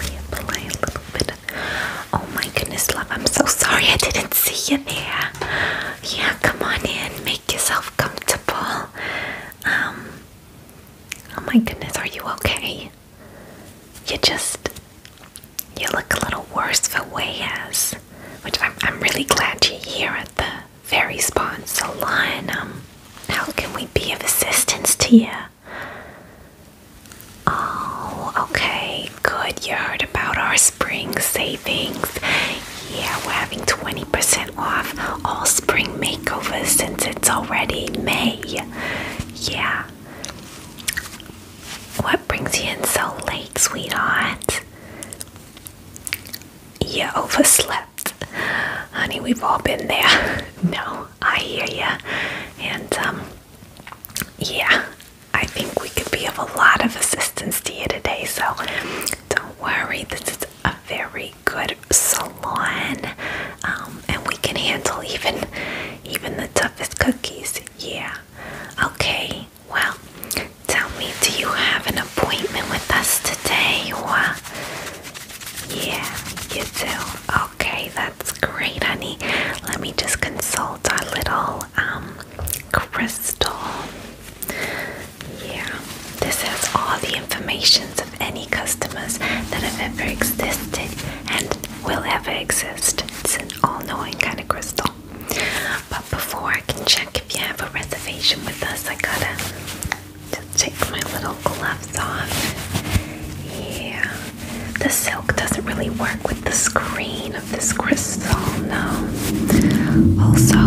Reapply a little bit. Oh my goodness, love! I'm so sorry I didn't see you there. Yeah, come on in, make yourself comfortable. Um. Oh my goodness, are you okay? You just you look a little worse for wears, which I'm I'm really glad you're here at the Fairy Spawn Solanum, how can we be of assistance to you? Oh, okay, good. You heard about our spring savings. Yeah, we're having 20% off all spring makeovers since it's already May. Yeah. What brings you in so late, sweetheart? you overslept. Honey, we've all been there. no, I hear you, And, um, yeah, I think we could be of a lot of assistance to you today. So don't worry, this is a very good salon. Um, and we can handle even even the toughest cookies. Yeah. Okay. Well, Tell me, do you have an appointment with us today or? Yeah, you do. Okay, that's great, honey. Let me just consult our little um crystal. Yeah, this has all the information of any customers that have ever existed and will ever exist. It's an all-knowing kind of crystal. But before I can check if you have a reservation with us, I gotta just take my little gloves off. Yeah, the silk doesn't really work with the screen of this crystal, no. Also,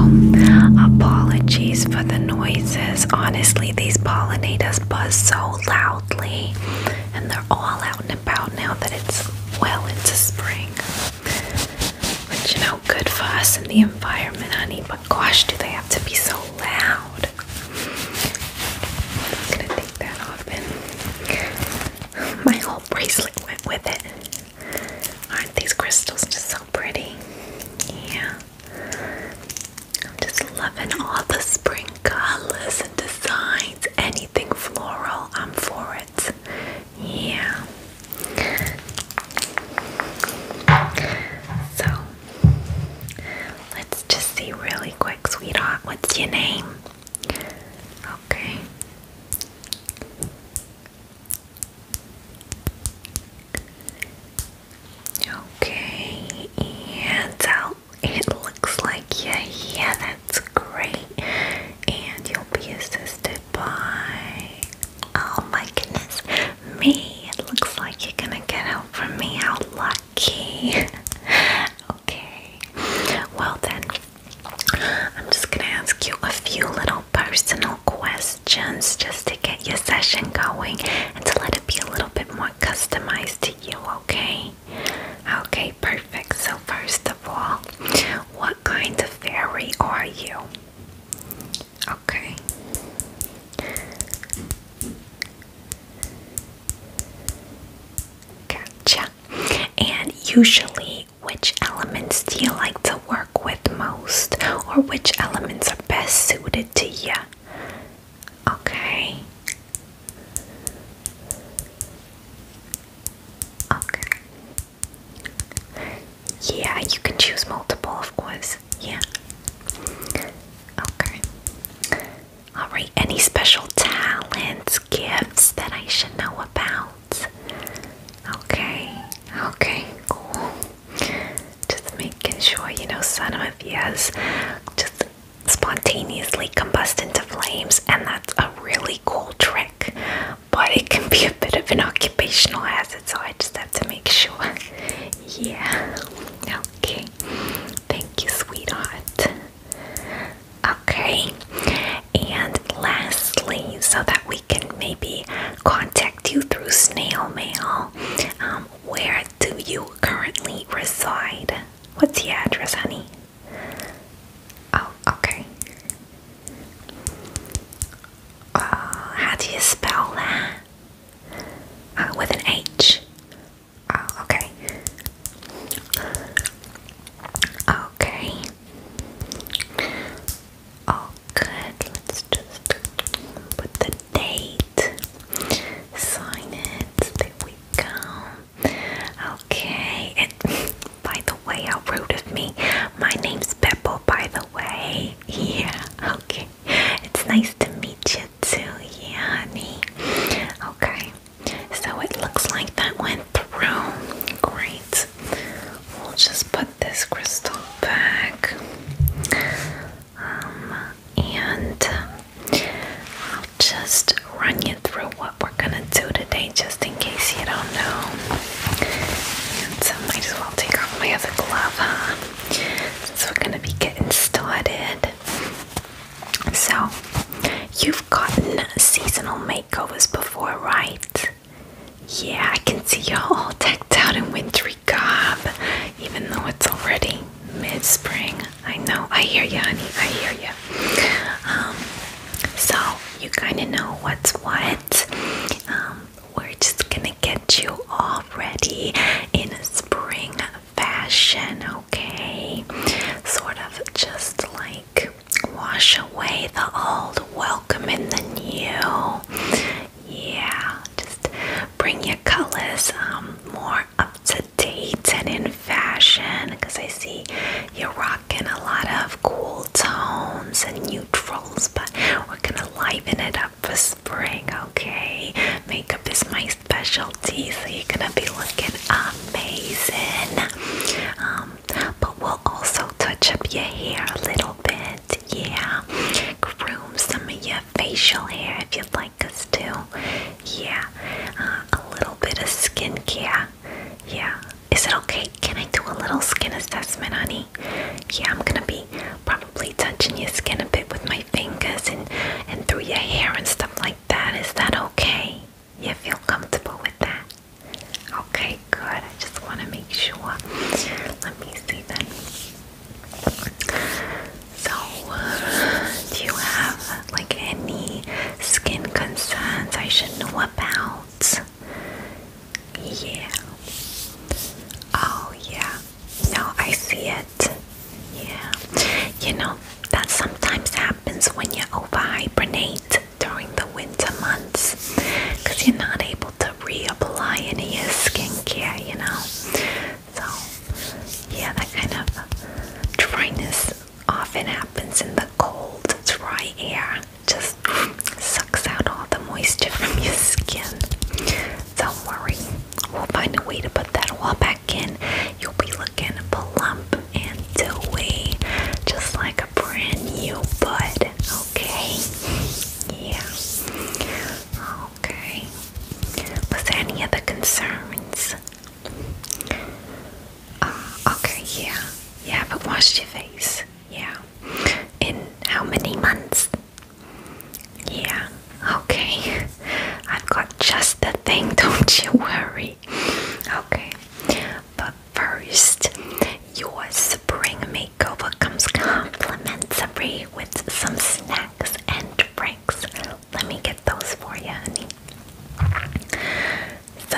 apologies for the noises. Honestly, these pollinators buzz so loudly, and they're all out and about now that it's well into spring. But you know, good for us and the environment, honey gosh, do they have to be so loud? I'm just gonna take that off my whole bracelet went with it. Aren't these crystals just so pretty? Yeah. I'm just loving all the spring colors and designs. Anything floral, I'm for it. Yeah. So let's just see really quick, sweetheart. What's your name? Okay. Okay, and out. It looks like yeah, yeah, that's great. And you'll be assisted by. Oh my goodness, me. It looks like you're gonna get help from me. How lucky. okay. Well, then, I'm just gonna ask you a few little personal questions just to get your session going and to let it be a little bit more customized to you, okay? Okay, perfect. So, first of all, what kind of fairy are you? Okay. Gotcha. And usually, which elements do you like to work with most, or which elements are best suited to you? Okay. Okay. Yeah, you can choose multiple, of course. Yeah. Okay. Alright, any special talents, gifts that I should know about? Okay, okay, cool. Just making sure, you know, some of has just spontaneously combust into flames, and that's a really cool trick, but it can be a bit of an occupational hazard, so I just to make sure. Yeah. Okay. Thank you, sweetheart. Okay. And lastly, so that we can maybe contact you through snail mail, um, where do you currently reside? What's your address, honey? Oh, okay. Uh, how do you spell that? Uh, with an H. Oh, okay. Okay. Oh, good. Let's just put the date. Sign it. There we go. Okay. And by the way, how rude of me. My name's Beppo, by the way. Yeah, okay. It's nice to meet you too, yeah, honey. Okay, so it looks like that went through. Great. We'll just put this crystal back. Um, and I'll just run you through what we're gonna do today, just in case you don't know. And um, I might as well take off my other glove, huh? So we're gonna be getting started. So, you've gotten seasonal makeovers before, right? Yeah, I can see you're all decked out in wintry garb, even though it's already mid spring. I know, I hear you, honey, I hear you. Um, so, you kind of know what's what. Um, we're just gonna get you all ready in a spring fashion, okay? Sort of just like wash away the old, welcome in the new. Yeah, just bring your colors um, more up to date and in fashion because I see you're rocking a lot of cool tones and neutrals, but we're gonna liven it up for spring, okay? Makeup is my specialty, so you're gonna be looking amazing. Um, but we'll also touch up your hair a little bit, yeah. Groom some of your facial hair if you'd like us to, yeah. Uh, a little bit of skincare, yeah. Is it okay? Can I do a little skin assessment, honey? Yeah, I'm gonna be probably touching your skin a bit with my fingers and and through your hair and stuff like that. Is that okay? You feel comfortable with that? Okay, good. I just want to make sure. Let me see then. So, do you have like any skin concerns I should know about? Yeah. Oh, yeah. No, I see it. Yeah. You know, that sometimes happens when you over hibernate during the winter months because you're not able to reapply any of your skincare, you know. So, yeah, that kind of dryness often happens in the cold, dry air. Just sucks out all the moisture from your skin. Don't worry, we'll find a way to put that wall back in. You'll be looking plump and dewy, just like a brand new bud. Okay? Yeah. Okay. Was any other concerns? Uh, okay, yeah. You haven't washed your face. Yeah. In how many months? Yeah, okay. I've got just the thing, don't you worry. Okay, but first, your spring makeover comes complimentary with some snacks and drinks. Let me get those for you, honey. So,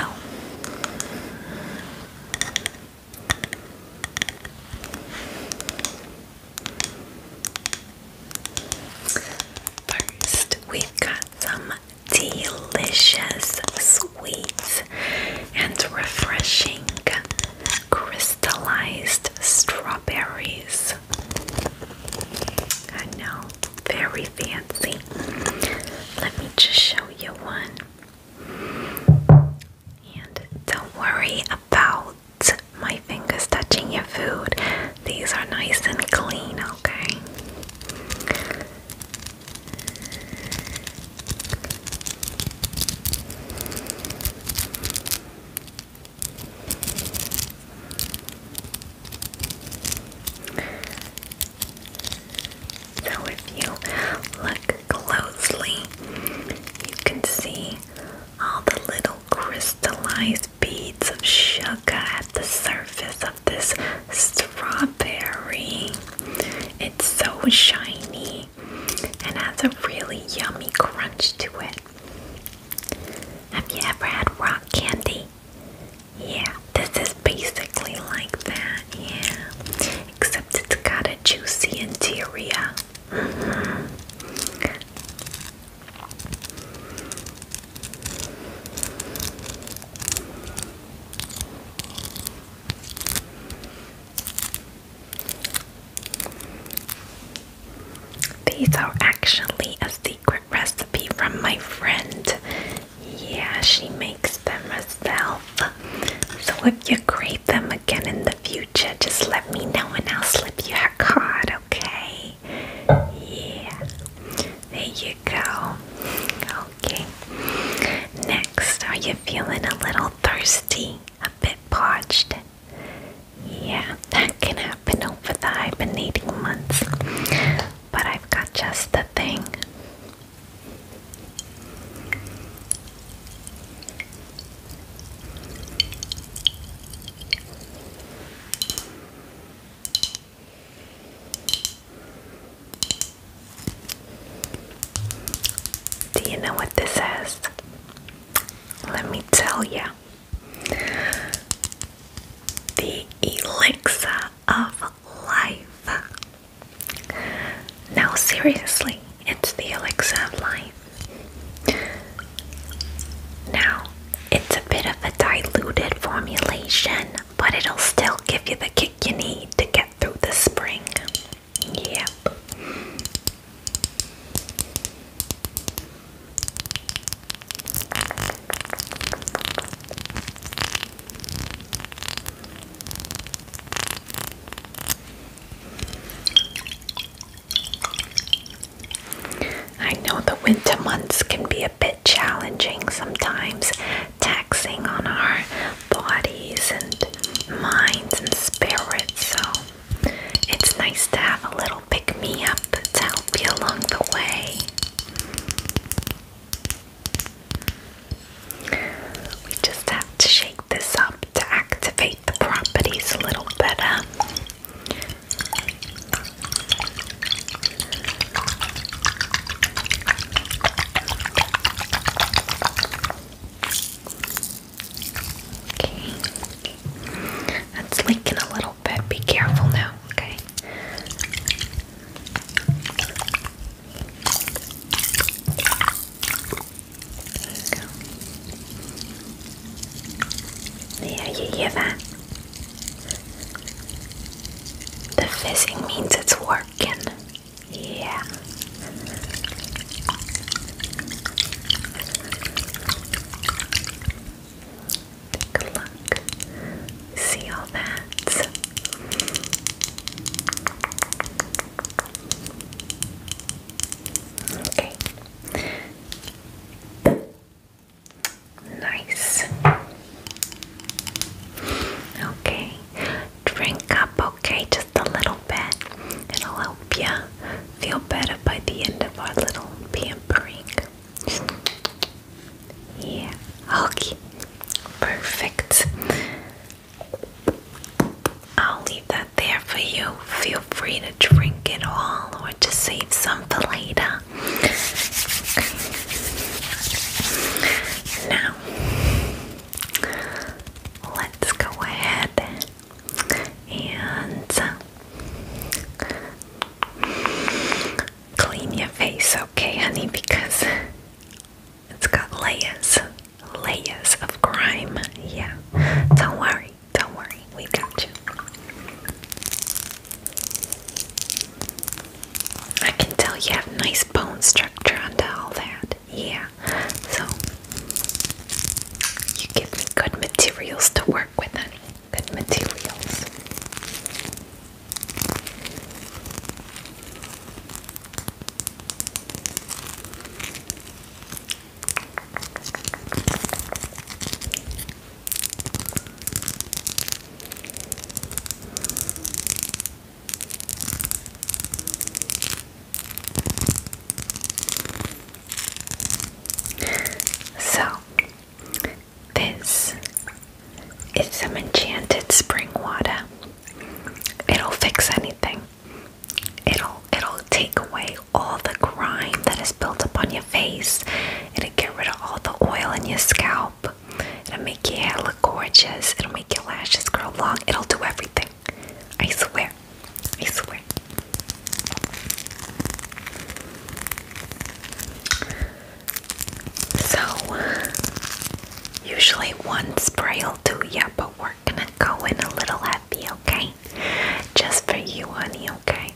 First, we've got some delicious sweet, and refreshing crystallized strawberries. I know, very fancy. Let me just show you one. And don't worry about my fingers touching your food. These are nice and clean, okay? So, if you look closely, you can see all the little crystallized beads of sugar at the surface of this strawberry. It's so shiny and has a really yummy crunch to it. Have you ever had rock candy? Yeah, this is basically like that, yeah. Except it's got a juicy interior. These are actually a secret recipe from my friend. Yeah, she makes them herself. So if you crave them again in the future, just let let me know and I'll slip you a card, okay? Yeah. There you go. Okay. Next, are you feeling a little thirsty? A bit parched? Yeah, that can happen over the hibernating months. But I've got just the thing. Do you know what this is? Let me tell you. The elixir of life. No, seriously, it's the elixir of life. Now, it's a bit of a diluted formulation, but it'll still give you the kick you need to get through the spring. Yep. I know the winter months can be a bit challenging sometimes, taxing on our bodies and minds and spirits, so it's nice to have a little pick me up to help you along the way. We just have to shake this up to activate the properties a little better. That's leaking a little bit. Be careful now, okay? There you hear that? The fizzing means it's working. Yeah. Take a See all that? Okay. Nice. Okay. Drink up, okay? Just a little bit. It'll help you feel better by the end of our little pampering. Yeah. Okay. Perfect. I'll leave that there for you. Feel free to drink it all or to save some for later. Now, let's go ahead and clean your face, okay, honey, because it's got layers, layers of grime. Yeah, don't worry. Don't worry, we got you. I can tell you have nice bone structure under all that. Yeah, so you give me good materials to work with, honey. Good materials. So, this is some enchanted spring water. It'll fix anything it'll it'll take away all the grime that is built up on your face. It'll get rid of all the oil in your scalp. It'll make your hair look gorgeous. It'll make your lashes grow long. It'll do everything. I swear. I swear. So, usually one spray will do, yeah, but we're gonna go in a little happy, okay? Just for you, honey, okay?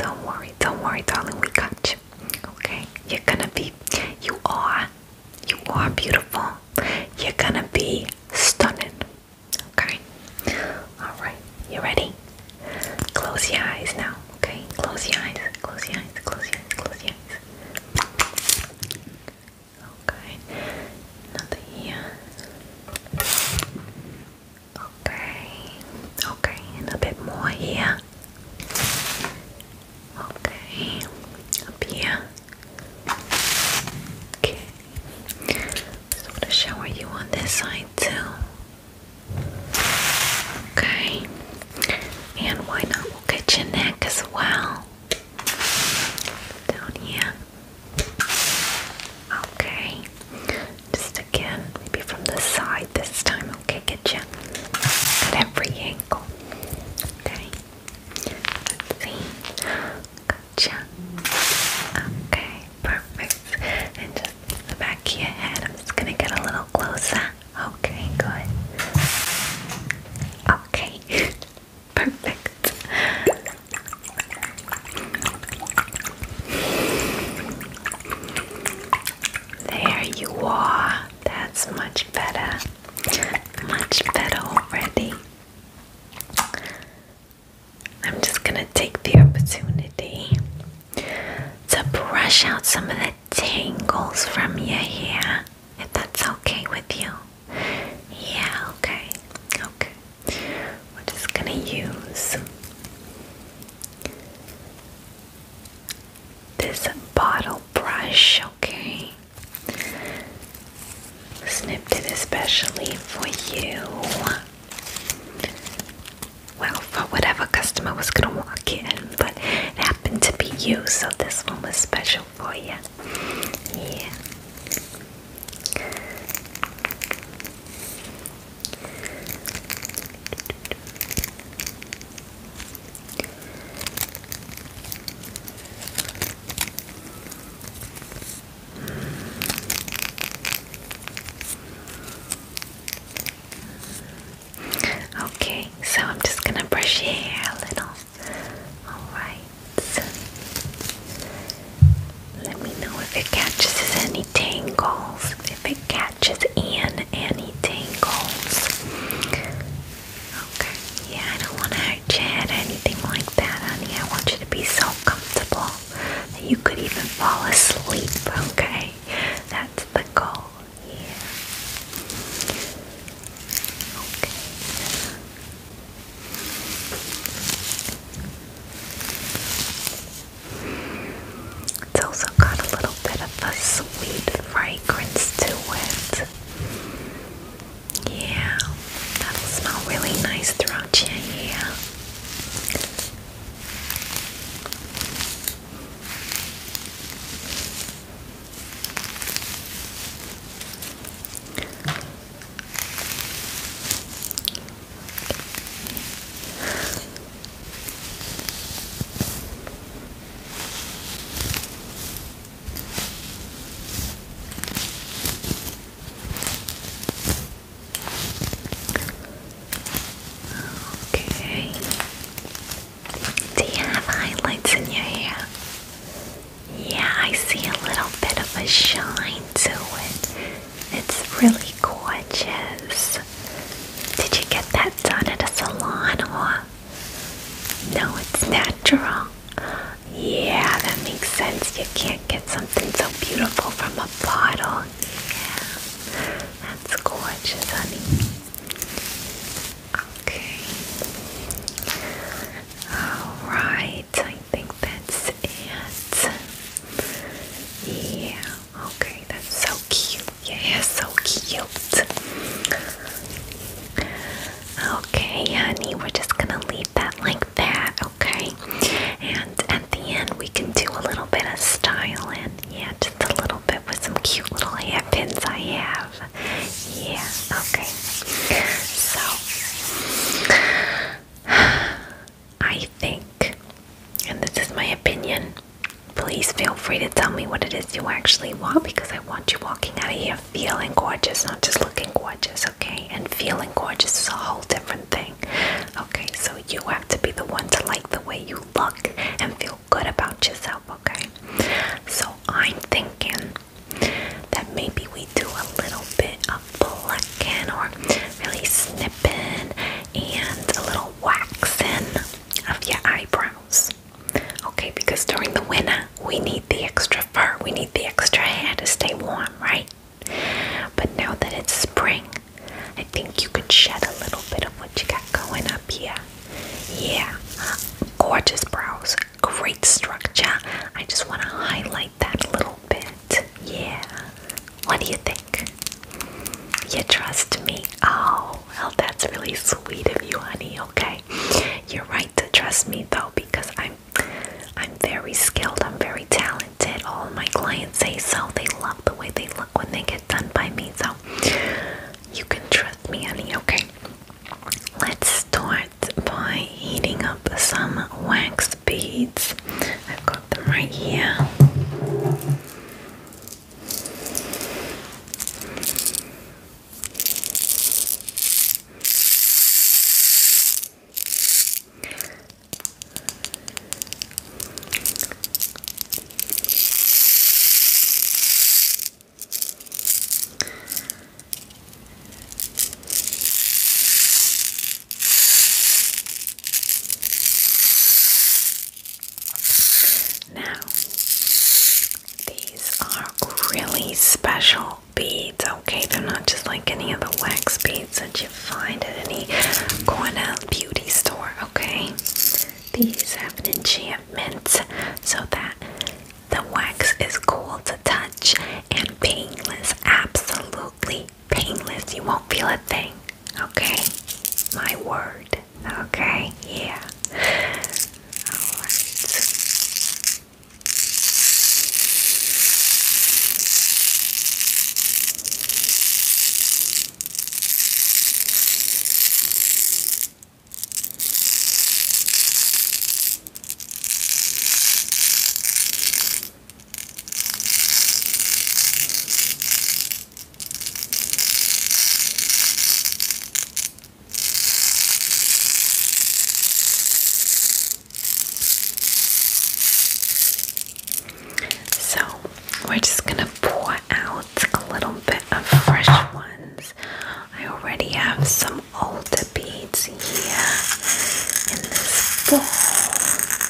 Don't worry, don't worry, darling, we got you, okay? You're gonna be, you are, you are beautiful. You're gonna be stunning, okay? Alright, you ready? Close your eyes now, okay? Close your eyes, close your eyes, close your eyes, close your eyes. Okay, nothing here. Okay, okay, and a bit more here. Okay, up here. Okay, just want to shower you on this side too. Okay, and why not? We'll get your neck as well. Down here. Okay. Just again, maybe from the side this time. Okay, get you at every angle. Okay. Let's see. Gotcha. Okay, perfect. And just the back of your head. I'm just gonna get a little closer. Okay, good. Okay. Perfect. There you are. That's much better. Much better already. I'm just gonna take the opportunity to brush out some of the tangles from your hair, if that's okay with you. Yeah, okay, okay. We're just gonna use this bottle brush, okay? Snipped it especially for you. Well, for whatever customer was gonna walk in, but it happened to be you, so this one was special for you. Yeah. Okay, so I'm just gonna brush your hair a little. Alright. Let me know if it catches any tangles, if it catches in any tangles. Okay, yeah, I don't want to hurt your head anything like that, honey. I want you to be so comfortable that you could even fall asleep, okay? That's the goal, yeah. Okay. It's also got a little bit of a sweet fragrance to it. Yeah, that'll smell really nice throughout your hair. Okay. Do you have highlights in your hair? Yeah, I see a little bit of a shine to it. It's really gorgeous. Did you get that done at a salon or? No, it's natural. Yeah, that makes sense. You can't get something so beautiful from a bottle. Yeah, that's gorgeous, honey. Okay. Alright, I think that's it. Yeah. Okay, that's so cute. Yeah, so cute. Okay, honey, we're just gonna leave that like that, okay? And at the end, we can do a little bit of styling. Yeah, just a little bit with some cute little hairpins I have. Yeah, okay. So. I think, and this is my opinion, please feel free to tell me what it is you actually want because I want you walking out of here feeling gorgeous, not just looking gorgeous, okay? And feeling gorgeous is a whole different thing, okay? So you have to be the one to like the way you look and feel good about yourself, okay? So I'm thinking that maybe we do a little bit of or really snipping and a little waxing of your eyebrows. Okay, because during the winter we need the extra fur, we need the extra hair to stay warm, right? But now that it's spring, I think you could shed a little bit of what you got going up here. Yeah, gorgeous brows, great structure. I just want to highlight that a little bit. Yeah. What do you think? You trust me? Oh, well, that's really sweet of you, honey. Okay. You're right to trust me though, because I'm I'm very skilled. I'm very talented. All my clients say so. They love the way they look when they get done by me. So you can trust me, honey. Okay. Let's start by heating up some wax those beads. I've got them right here. Now, these are really special beads, okay? They're not just like any of the wax beads that you find at any corner beauty store, okay? These have an enchantment so that the wax is cool to touch and painless, absolutely painless. You won't feel a thing. Okay? My word. Okay? Yeah. Alright. So, we're just going to pour out a little bit of fresh ones. I already have some older beads here in this bowl.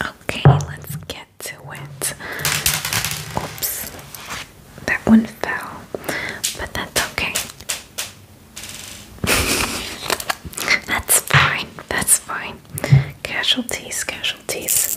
Okay, let's get to it. Oops, that one fell, but that's okay. that's fine, that's fine. Casualties, casualties.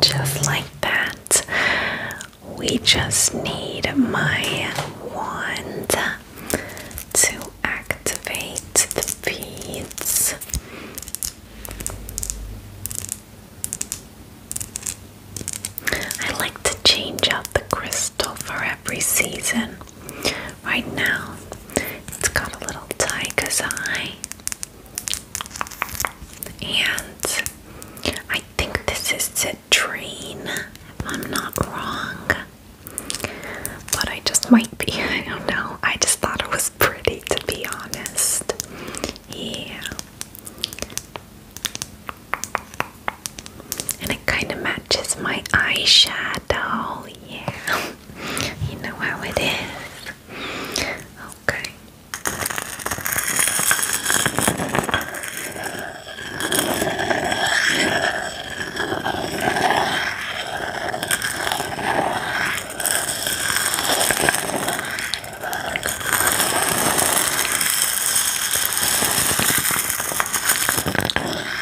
Just like that, we just need my wand to activate the beads. I like to change out the crystal for every season. Right now, it's got a little tiger's eye, and I think this is citrine, if I'm not wrong. But I just might be, I don't know. I just thought it was pretty, to be honest. Yeah. And it kind of matches my eyeshadow. Yeah. You know how it is. Okay.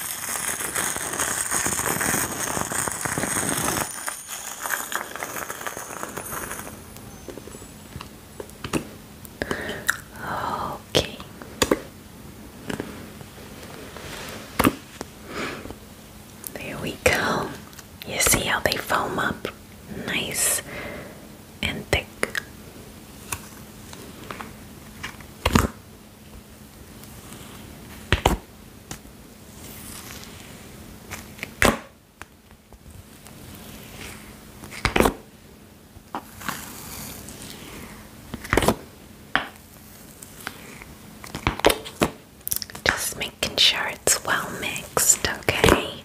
Okay. There we go. You see how they foam up? Nice and thick. Just making sure it's well mixed, okay?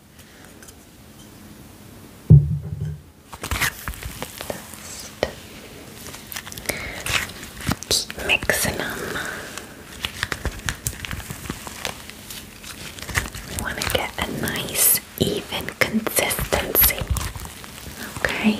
Just mixing them. want to get a nice, even consistency. Okay.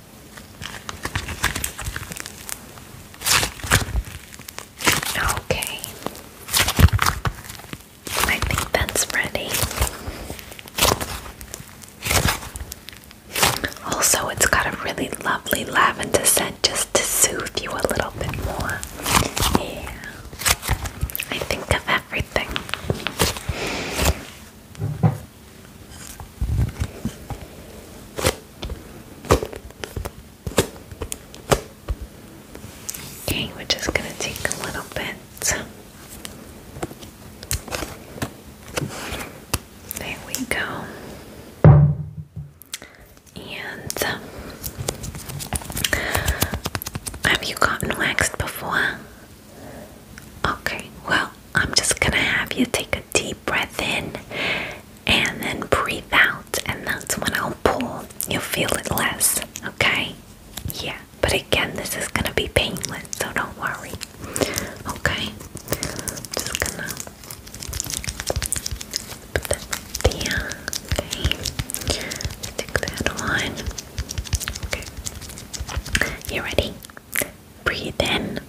Okay. I think that's ready. Also, it's got a really lovely lavender scent just to soothe you a little bit more. Yeah. I think of everything. Okay, we're just going to take a little bit. There we go. And um, have you gotten waxed before? Okay, well, I'm just gonna have you take a deep breath in and then breathe out, and that's when I'll pull. You'll feel it less, okay? Yeah, but again, this is gonna be painless, so don't worry. Okay, just gonna put that there. Okay, stick that on. Okay, you ready? Breathe in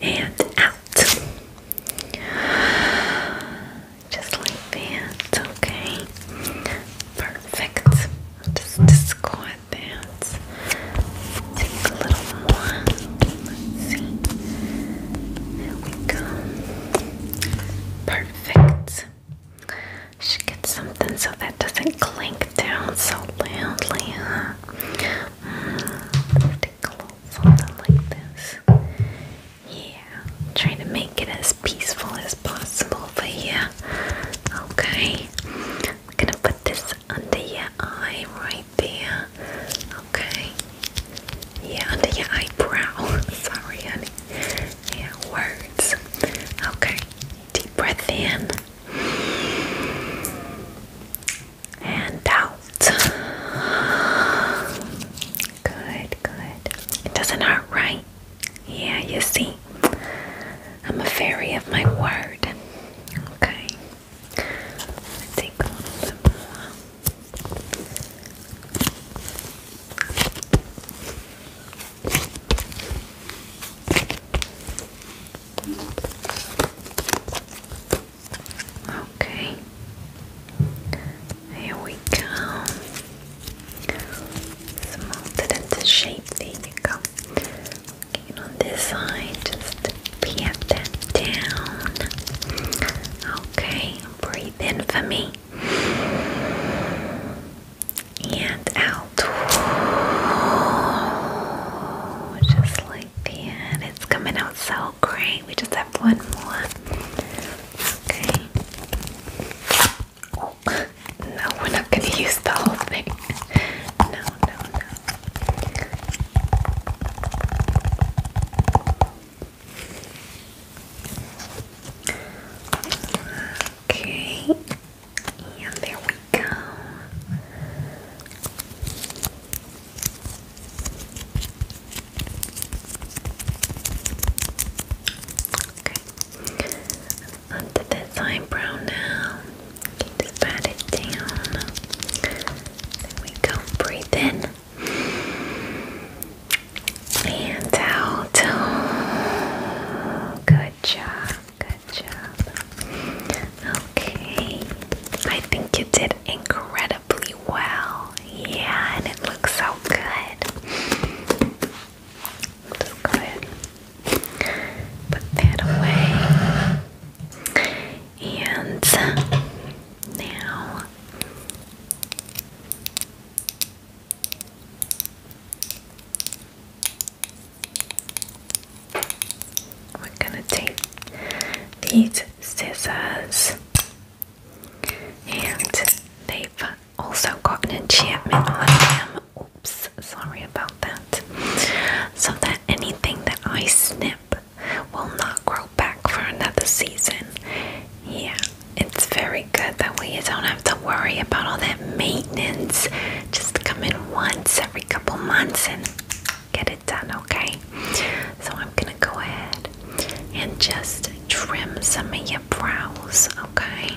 and out. Just like that, okay? Perfect. Just, squat that. Take a little more. see. There we go. Perfect. Should get something so that doesn't clink down so loudly, huh? Mm, something like this. Yeah, try to make it as peaceful as possible for you. Okay, I'm gonna put this under your eye right there. Okay, yeah, under your eyebrow. Sorry, honey. Yeah, words. Okay, deep breath in and out. Good, good. It doesn't hurt, right? Yeah, you see. I'm a fairy of my word. Okay. Let's little more. Okay, here we go. Smooth it into shape. There you go. and on this side, just pat that down. Okay, breathe in for me and out. Just like that. It's coming out so great. We just have one more. Okay. Oh, no, we're not going to use the whole thing. No, no, no. Okay. And there we go. Okay. Onto this eyebrow now. Just pat it down. There we go. Breathe in. And out. Good job. Good job. Okay. I think you did incredibly well. Yeah, and it looks so good. Just go ahead. Put that away. And now we're gonna take these scissors and they've also got an enchantment on them. Oops, sorry about that. So that anything that I snip will not grow back for another season. Yeah, it's very good that way. You don't have to worry about all that maintenance just come in once every couple months and get it done, okay? So I'm gonna go ahead and just trim some of your brows, okay?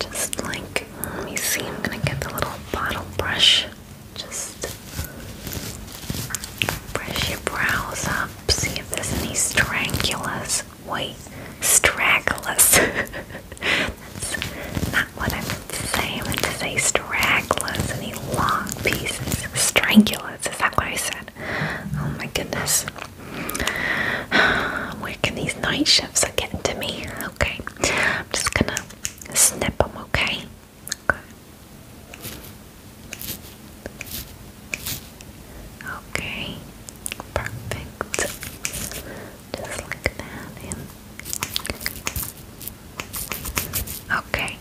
Just like, let me see, I'm gonna get the little bottle brush. Just brush your brows up, see if there's any strangulas. Wait, stragglers. That's not what I meant to say. I meant to say stragglers, any long pieces. Strangulars, is that what I said? Oh my goodness. Where can these night shifts are getting to me. Okay, I'm just gonna snip them, okay? Okay. Okay, perfect. Just like that in. Okay.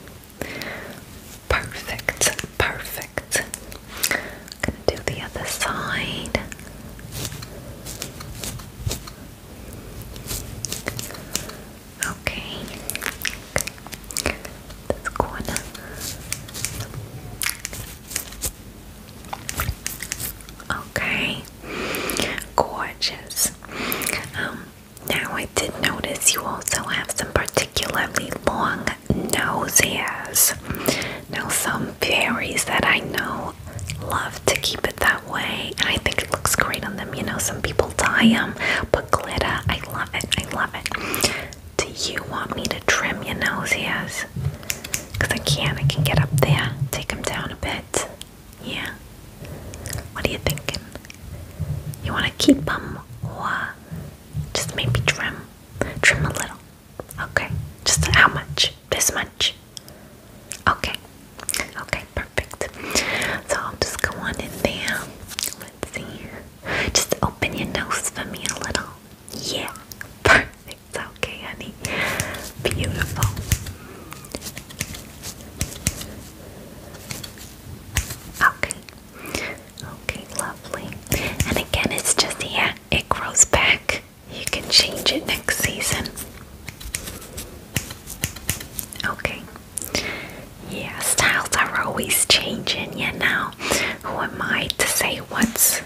Perfect. Perfect. gonna do the other side. Okay. This corner. Okay. Gorgeous. Um, now I did notice you also have some particularly long nose hairs. Now some fairies that I know love to keep it that way, and I think it looks great on them. You know, some people dye them, but glitter, I love it. I love it. Do you want me to trim your nose hairs? Because I can. I can get up there, take them down a bit. Yeah. What are you thinking? You want to keep them or just maybe trim? Trim a little. Okay. Just how much? This much? Okay. Okay, perfect. So I'll just go on in there. Let's see here. Just open your nose for me a little. Yeah. Perfect. Okay, honey. Beautiful. Okay. Okay, lovely. And again, it's just here, it grows back. You can change it next season. Okay. Yeah, styles are always changing, you know. Who am I to say what's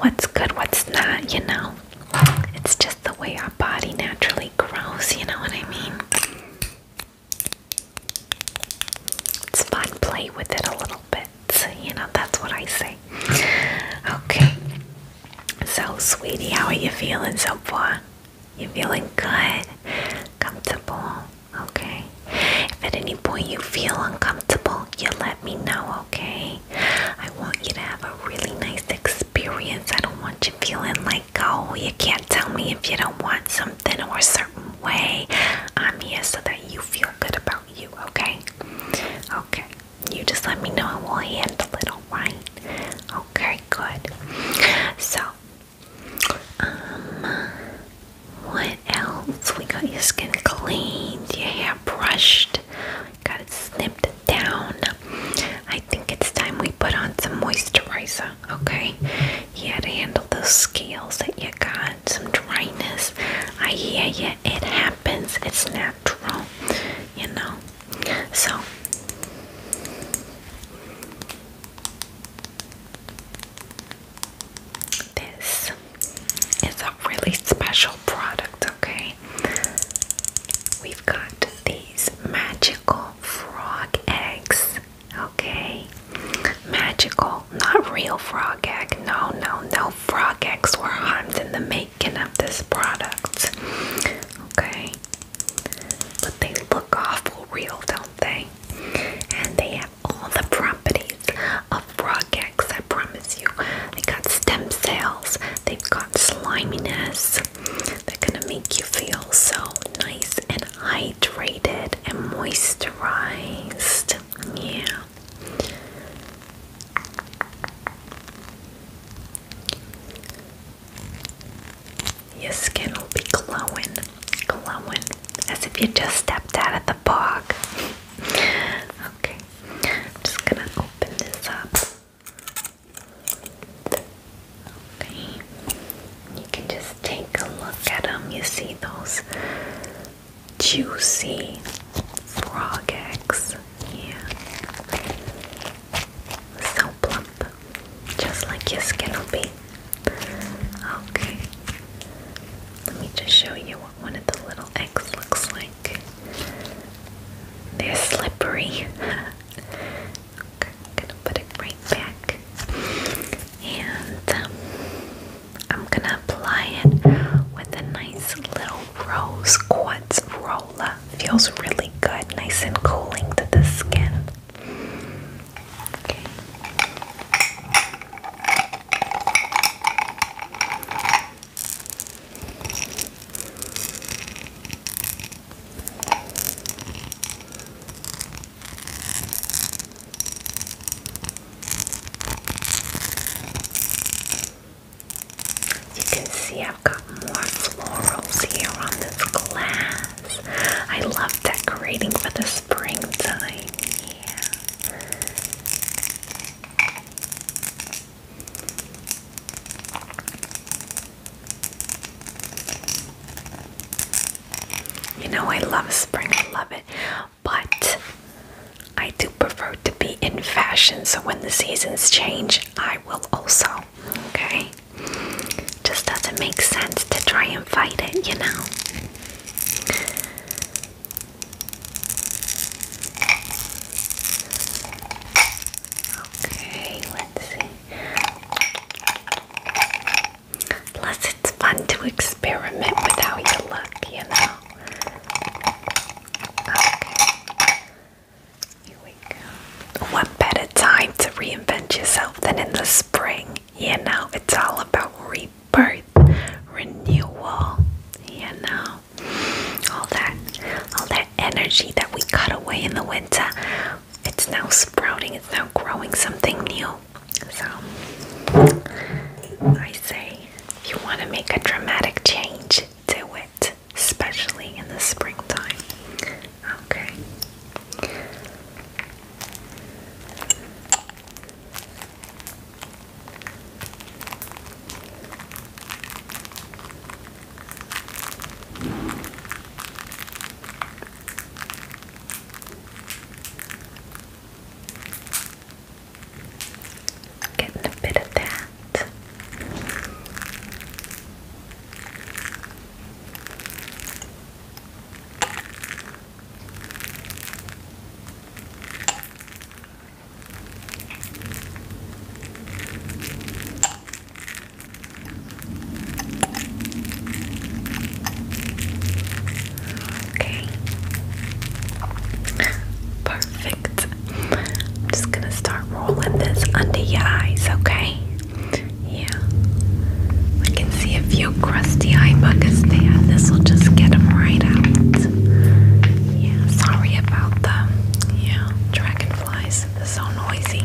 what's good, what's not, you know? It's just the way our body naturally gross, you know what I mean? It's fun, play with it a little bit, so, you know, that's what I say. Okay, so sweetie, how are you feeling so far? You feeling good? Comfortable? Okay. If at any point you feel uncomfortable, you let me know, okay? I want you to have a really nice experience. I don't want you feeling like, oh, you can't tell me if you don't want something or a certain way. I'm here so that you feel good about you, okay? Okay. You just let me know and we'll handle it, alright? Okay, good. So, um, what else? We got your skin cleaned, your hair brushed, got it snipped down. I think it's time we put on some moisturizer, okay? You had to handle those scales that you got, some dryness. I hear you, it happens, it's natural, you know? So, this is a really special product, okay? We've got these magical frog eggs. Okay, magical, not real frog egg. No, no, no frog eggs were harmed in the making of this product. Okay, but they look awful real, don't they? And they have all the properties of frog eggs, I promise you. They got stem cells, they've got sliminess, they're gonna make you feel so nice and hydrated and moisturized. Yeah. Your skin will be glowing, glowing, as if you just stepped out of the park. okay, I'm just gonna open this up. Okay, you can just take a look at them. You see those juicy frog eggs. Yeah. So plump. Just like your skin will be. Okay. Let me just show you what one of the little eggs looks like. They're slippery. I'm gonna put it right back. And um, I'm gonna apply it with a nice little rose quartz roller. Feels really good, nice and cooling to the skin. You can see I've got more florals here on this glass. I love decorating for the springtime. You know, I love spring, I love it, but I do prefer to be in fashion, so when the seasons change, I will also. Okay? Just doesn't make sense to try and fight it, you know? Okay, let's see. Plus, it's fun to experiment with how you look, you know. Okay. What better time to reinvent yourself than in the spring? Yeah, now it's all about rebirth, renewal, Yeah, now All that all that energy that we cut away in the winter, it's now sprouting, it's now growing something new. So, I say if you want to make a dramatic change, do it, especially in the springtime. Okay. I'm getting a bit of that. Okay. Perfect. I'm just gonna start rolling this under your eyes, okay? Yeah. I can see a few crusty eye buckets there. This will just get them right out. Yeah, sorry about them. Yeah, dragonflies. They're so noisy.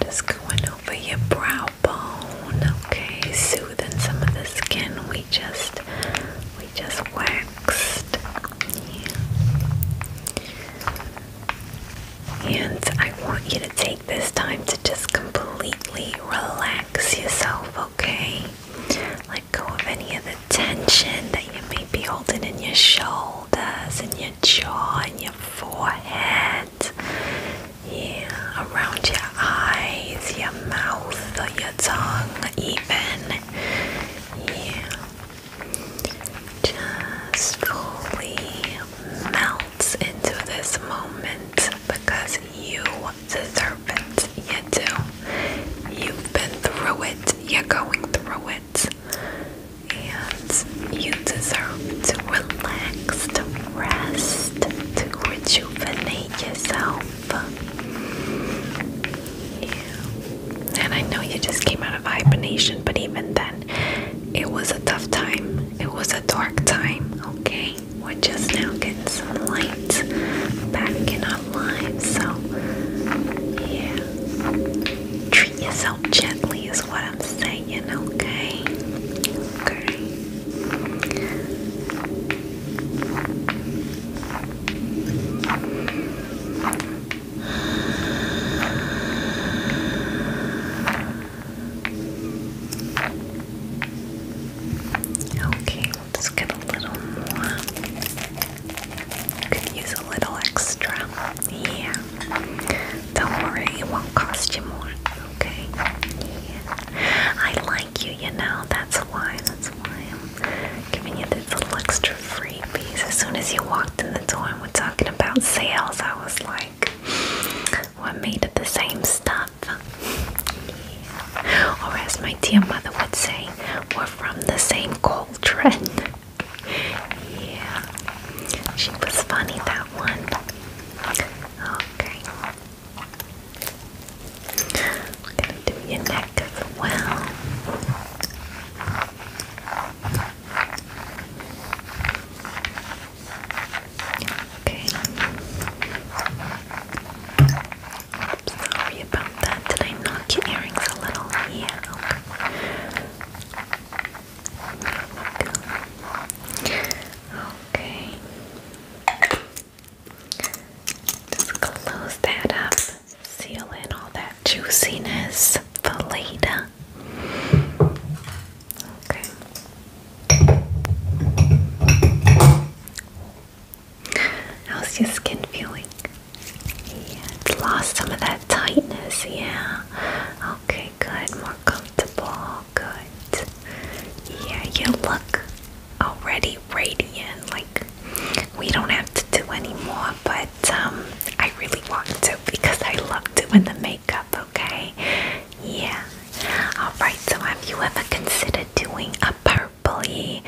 Just going over your brow bone, okay, soothing some of the skin we just we just waxed. And I want you to take this time to just completely relax yourself, okay? Let go of any of the tension that you may be holding in your shoulders and your jaw and your forehead. Yeah, around your eyes, your mouth, your tongue, even. Yeah. Just fully melt into this moment because you deserve it. You do. You've been through it. You're going through it and you deserve to relax, to rest, to rejuvenate yourself. Yeah. And I know you just came out of hibernation, but even then, it was a tough time. It was a dark time, okay? We're just now getting some light back in our lives, so yeah. Treat yourself gently, is what I'm saying, okay? Okay. Okay, we'll get a little more. Could use a little extra. Yeah. Don't worry, it won't cost you more. Okay. Yeah. I like you, you know. That's why. That's why I'm giving you this little extra freebies. As soon as you walked in the door and we're talking about sales, I was like, "We're made of the same stuff?" Yeah. Or as my dear mother would say, "We're from the same cauldron." yeah, she was funny that one. Okay, gonna do your neck as well. Okay. Sorry about that. Did I knock your earrings a little? Yeah. Okay. Just close that up. Seal in all that juiciness for Okay. How's your skin feeling? Yeah, it's lost some of that tightness, yeah. Okay, good. More comfortable. Good. Yeah, you look already radiant. Like we don't have to do anymore, but um, I really want to because I love doing the makeup. Okay. Yeah. All right. So have you ever considered doing a purply,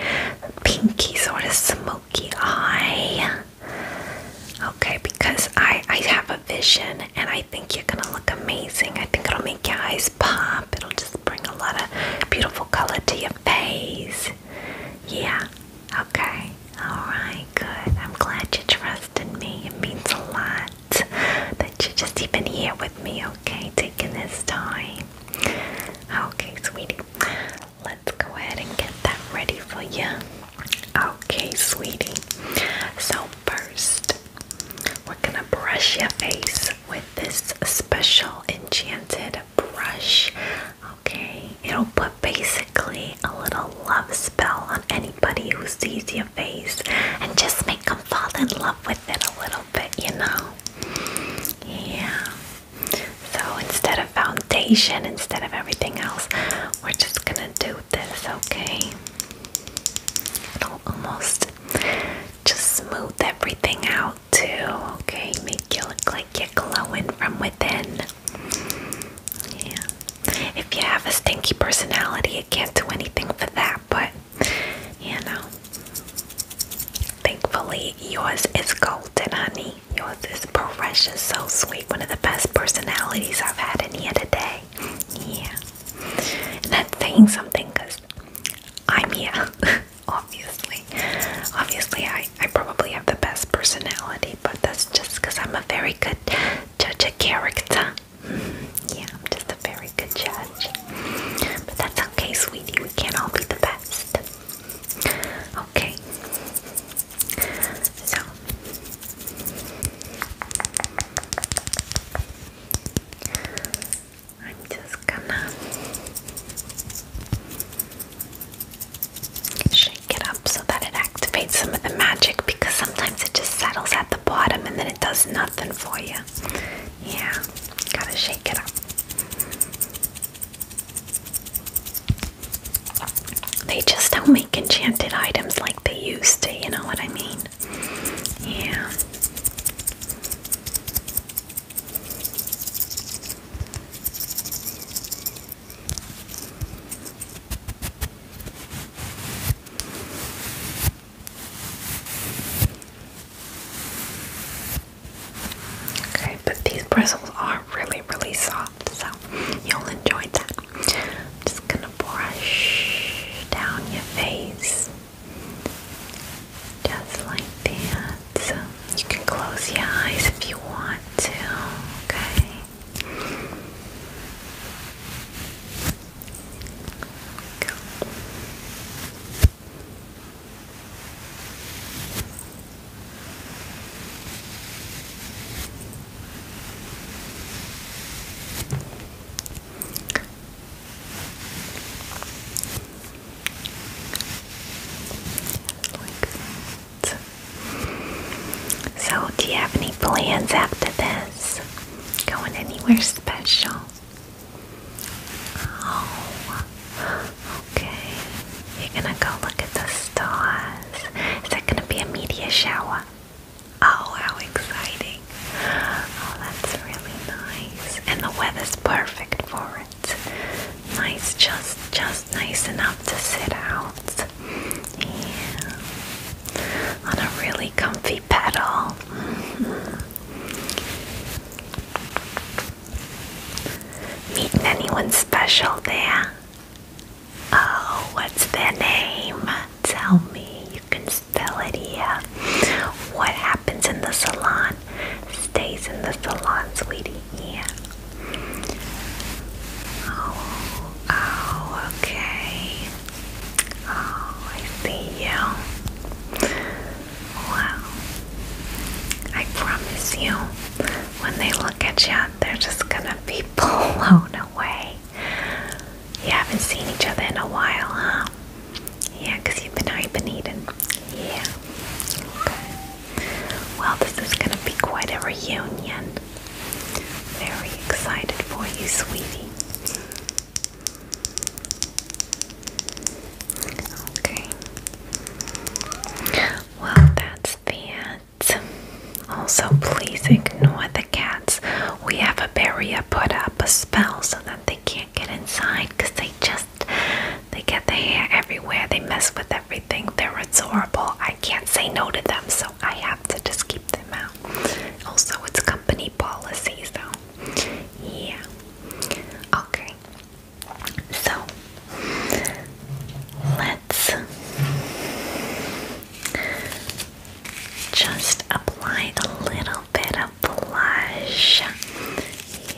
pinky sort of smoky eye? Okay, because I I have a vision and I think you're gonna look amazing. I think it'll make your eyes pop. It'll just bring a lot of beautiful color to your face. Yeah. Okay. Alright, good. I'm glad you trusted me. It means a lot that you're just even here with me, okay? Taking this time. Okay, sweetie. Let's go ahead and get that ready for you. Okay, sweetie. So, first, we're gonna brush your face with this special enchanted brush. Okay, it'll put basically a little love spell on anybody who sees your face and just make them fall in love with it a little bit, you know? Yeah. So, instead of foundation, instead of everything else, we're just gonna do with this, okay? It'll almost just smooth everything out too, okay? Make you look like you're glowing from within. Yeah. If you have a stinky personality, it can't do anything for that, but you know. Thankfully, yours is golden, honey. Yours precious, so sweet, one of the best personalities I've had in here today. Yeah. And that's saying something because I'm here, obviously. Obviously, I, I probably have the best personality, but that's just because I'm a very good judge of character. Mm-hmm. yeah, I'm just a very good judge. But that's okay, sweetie. We can't all be the best. Okay. So I'm just gonna shake it up so that it activates some of the magic because sometimes it just settles at the bottom and then it does nothing for you. Yeah, gotta shake it up. They just don't make enchanted items like they used to, you know what I mean? Yeah. Okay, but these bristles are really, really soft, so you'll enjoy that just gonna brush down your face. Just like that. you can close your eyes if you want to, okay? Go. So, do you have any plans after this? Going anywhere special? Oh, okay. You're gonna go look at the stars. Is that gonna be a meteor shower? Oh, how exciting! Oh, that's really nice. And the weather's perfect for it. Nice, just just nice enough to sit out. Yeah. On a really comfy pedal. Mm-hmm. Meeting anyone special there? Oh, what's their name? Tell me. You can spell it here. What happens in the salon stays in the salon, sweetie. Yeah. Oh, oh, okay. Oh, I see you. Wow. I promise you, when they look at you, they're just gonna be blown away. You haven't seen each other in a while, huh? Yeah, because you've been hibernating. Yeah. Well, this is going to be quite a reunion. Very excited for you, sweetie. Okay. Well, that's the also please ignore the cats. We have a barrier put up, a spell, so that they can't get inside because they just they get their hair everywhere. They mess with everything. They're adorable. I can't say no to them, so I have to just keep them out. Also, it's company policy, so yeah. Okay. So let's just apply a little bit of blush.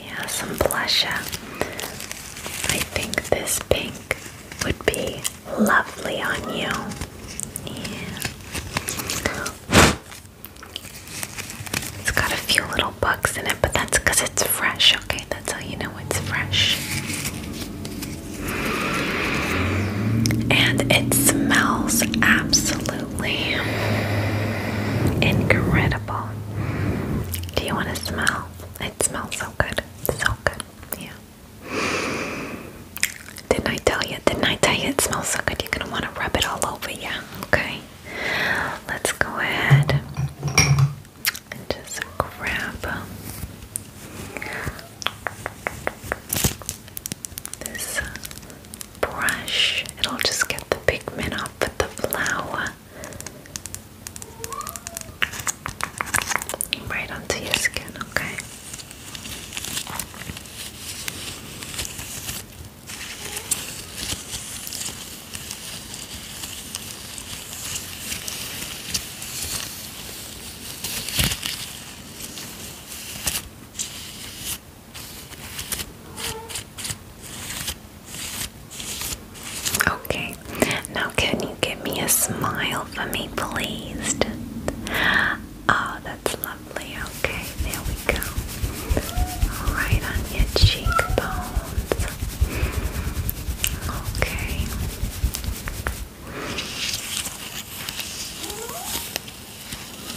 Yeah, some blush. I think this pink would be lovely on you. Yeah. It's got a few little bugs in it, but that's because it's fresh, okay? That's how you know it's fresh. And it smells absolutely incredible. Do you want to smell? It smells so good. So good. Yeah. Didn't I tell you? Didn't I tell you it smells so good? You're going to want to rub it all over Yeah. Okay. Let's go ahead and just grab this brush. It'll just get the pigment off with the flower. Right onto your skin, okay? Okay, now can you give me a smile for me, please? Oh, that's lovely. Okay, there we go. All right on your cheekbones. Okay. Okay,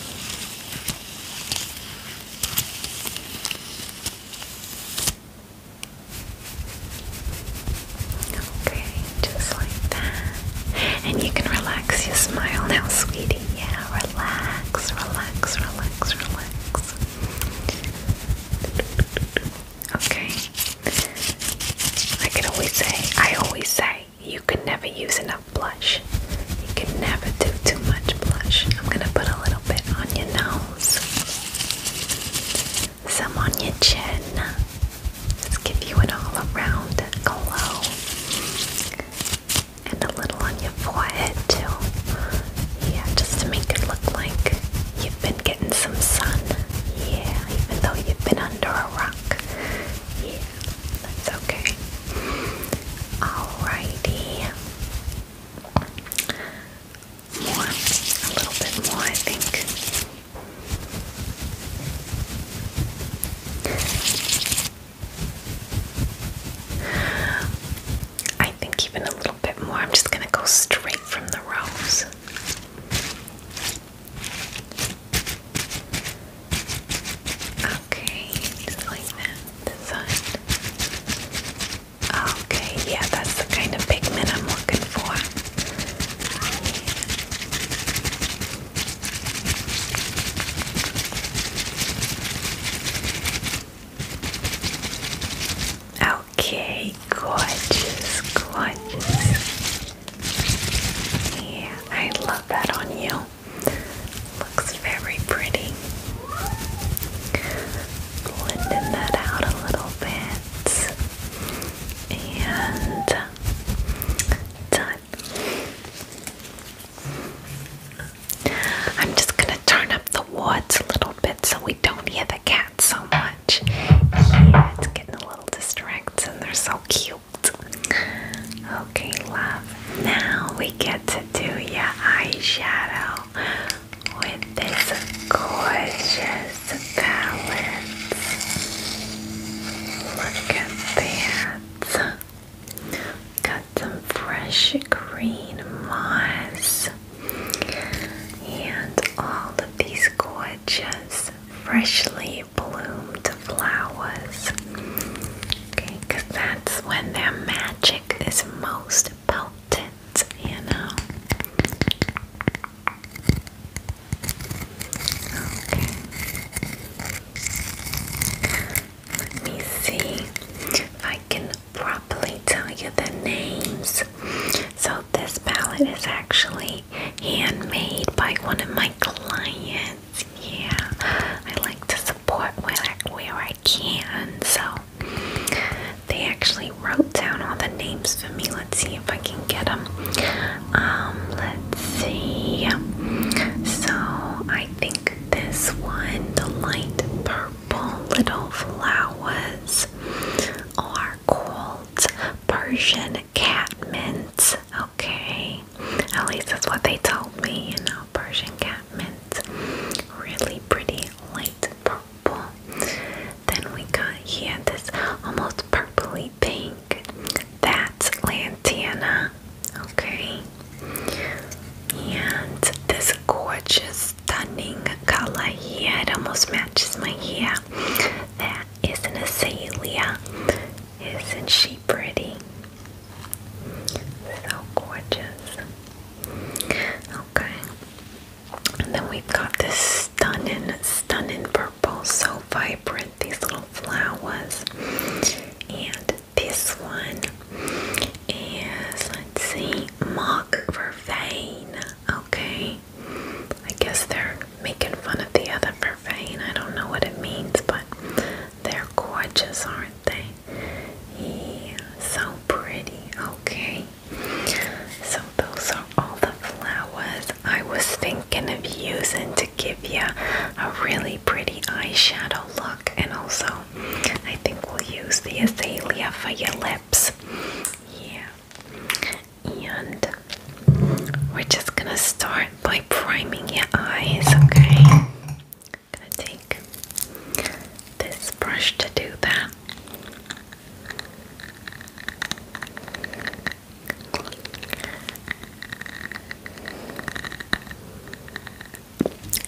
just like that. And you can relax your smile now, sweetie. Yeah, relax, relax, relax, relax. Okay. I can always say, I always say, you can never use enough blush. You can never do too much blush. I'm gonna put a little bit on your nose, some on your chin. Just give you an all-around glow, and a little on your forehead too. Yeah, just to make it look like you've been getting some sun. Yeah, even though you've been under a rock. That's okay. Alrighty. A little bit more, I think. I think even a little bit more. I'm just going to go straight from the rose. Okay, just like that. This side. Okay, yeah, that's the kind of pigment I'm looking for. Okay, gorgeous, gorgeous. Yeah, I love that on you. Looks very pretty. Blending that out a little bit. And done. I'm just going to turn up the wards a little bit so we don't hear the cat so much. Yeah, it's getting a little distracting. They're so cute. Okay, love. Now we get to do your eyeshadow with this gorgeous palette. Look at that. Got some fresh green moss and all of these gorgeous freshly bloomed flowers. Okay, that's when their magic is most potent, you know. Okay. Let me see if I can properly tell you the names. So, this palette is actually handmade by one of my clients yeah I like to support where I, can so they actually wrote down all the names for me let's see if I can get them um let's see so I think this one the light purple little flowers are called Persian cat mints Okay, at least that's what they told me. And know, Persian cat mint, really pretty light purple. Then we got here this almost purply pink. That's lantana. Okay, and this gorgeous, stunning color here. It almost matches my hair. That is an azalea. Isn't she pretty? So gorgeous. Okay. And then we've got this stunning, stunning purple, so vibrant, these little flowers. And this one is, let's see, mock vervain. Okay. I guess they're making fun of the other I don't know what it means, but they're gorgeous, aren't they? Yeah, so pretty. Okay. So those are all the flowers I was thinking of using to give you a really pretty eyeshadow look, and also I think we'll use the azalea for your lips. Yeah. And we're just gonna start by priming your eyes, okay? gonna take this brush to do that.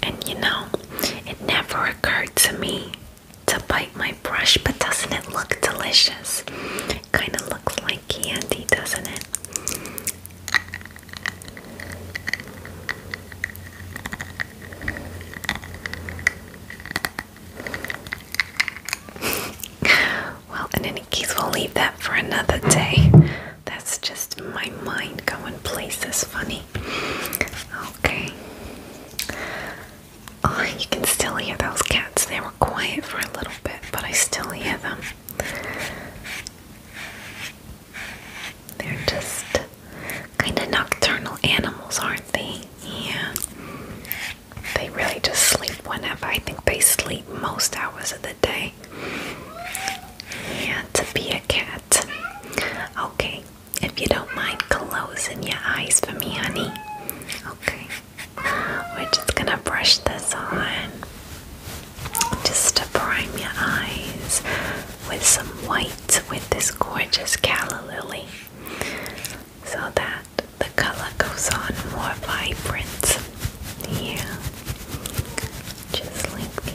And you know, it never occurred to me to bite my brush, but doesn't it look delicious? Kind of looks like candy, doesn't it? well, in any we'll leave that for another day. That's just my mind going places funny. Okay. Oh, you can still hear those cats. They were quiet for a little bit, but I still hear them. They're just kind of nocturnal animals, aren't they? Yeah. They really just sleep whenever. I think they sleep most hours of the day. Yeah, to be a cat. Okay, if you don't mind closing your eyes for me, honey. Okay. We're just gonna brush this on just to prime your eyes with some white with this gorgeous calla lily so that the color goes on more vibrant Yeah. Just like the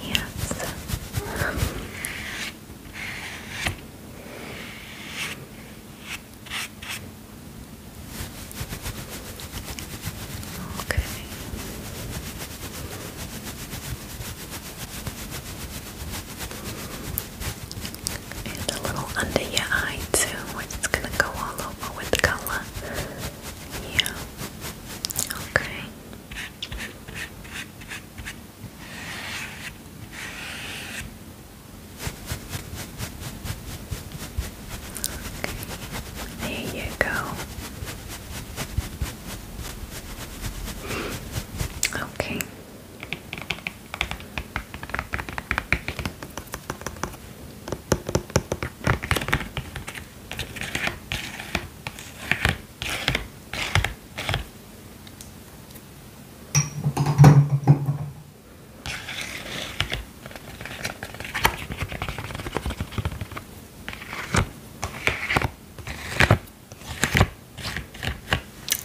and a little under your eye too. It's gonna go all over with the color. Yeah. Okay. There you go. Okay.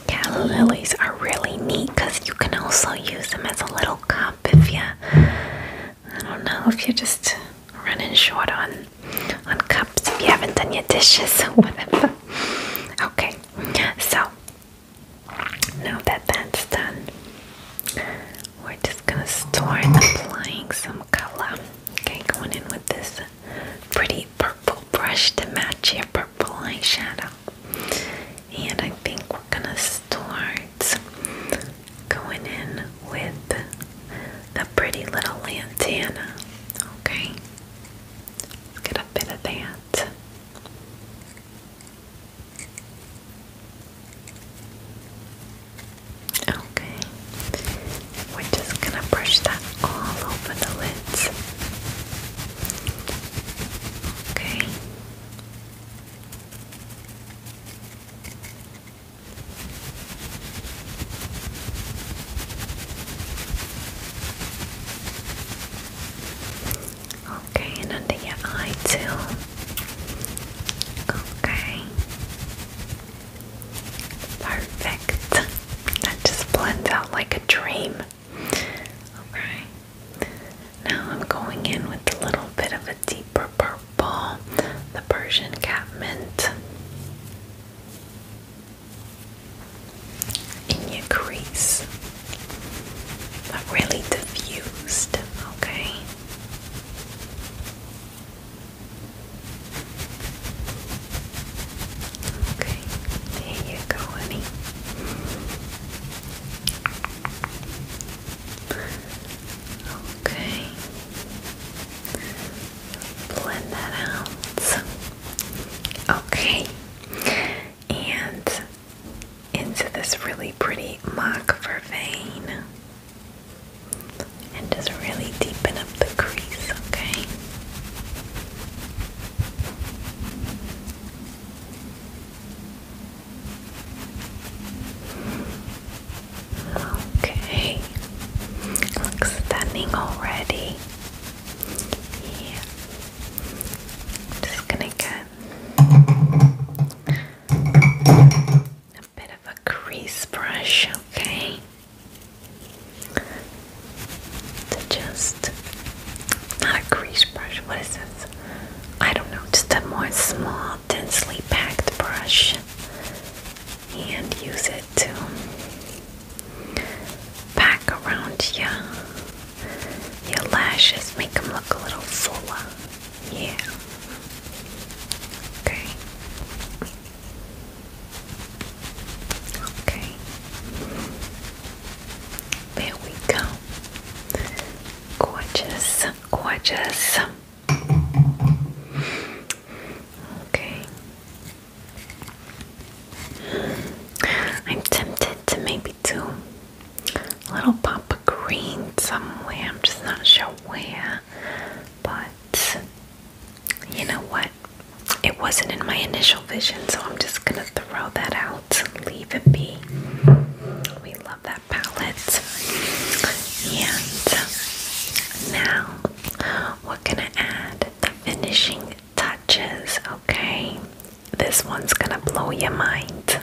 Yeah, lilies are really neat because you can also use them as a little cup if you, I don't know, if you're just running short on on cups, if you haven't done your dishes or whatever. Okay, so now that that's done, we're just gonna start applying some color. Okay, going in with this pretty purple brush to match your purple eyeshadow. And I think we're gonna start going in with the pretty little lantana. Okay, get a bit of that. Okay, we're just gonna brush that all over the lids. Okay. Okay, and under your eye too. Okay. Perfect. That just blends out like a dream. Okay. Now I'm going in with a little bit of a deeper purple, the Persian cat mint. In your crease, really diffused, okay? Okay, there you go, honey. Okay, blend that out. Okay, and into this really pretty mock for vein and just really deepen up the crease, okay? Okay, looks stunning already. Yeah, just gonna get a bit of a crease brush, okay? To just not a crease brush, what is this? I don't know, just a more small, densely packed brush and use it to pack around your, your lashes, make them look a little fuller. Yeah. Okay. Okay. There we go. Gorgeous, gorgeous. Okay. I'm tempted to maybe do a little pop of green somewhere. I'm just not sure where. But you know what? It wasn't in my initial vision, so I'm just gonna throw that out. Leave it be. We love that palette. And now we're gonna add the finishing touches, okay? This one's gonna blow your mind.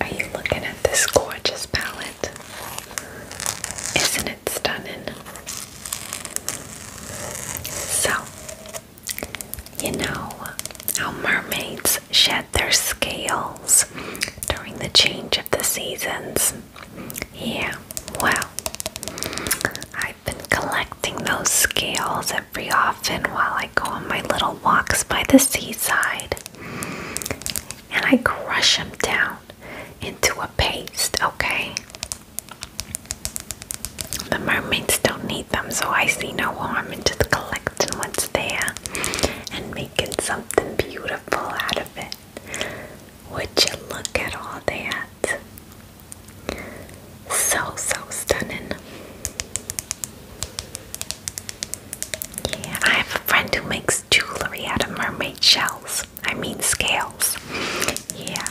Are you looking at this gorgeous palette? Isn't it stunning? So, you know how mermaids shed their scales during the change of the seasons. Yeah, well, I've been collecting those scales every often while I go on my little walks by the seaside. And I crush them down into a paste, okay? The mermaids don't need them, so I see no harm in just collecting what's there and making something beautiful out of. Would you look at all that? So, so stunning. Yeah, I have a friend who makes jewelry out of mermaid shells. I mean, scales. Yeah,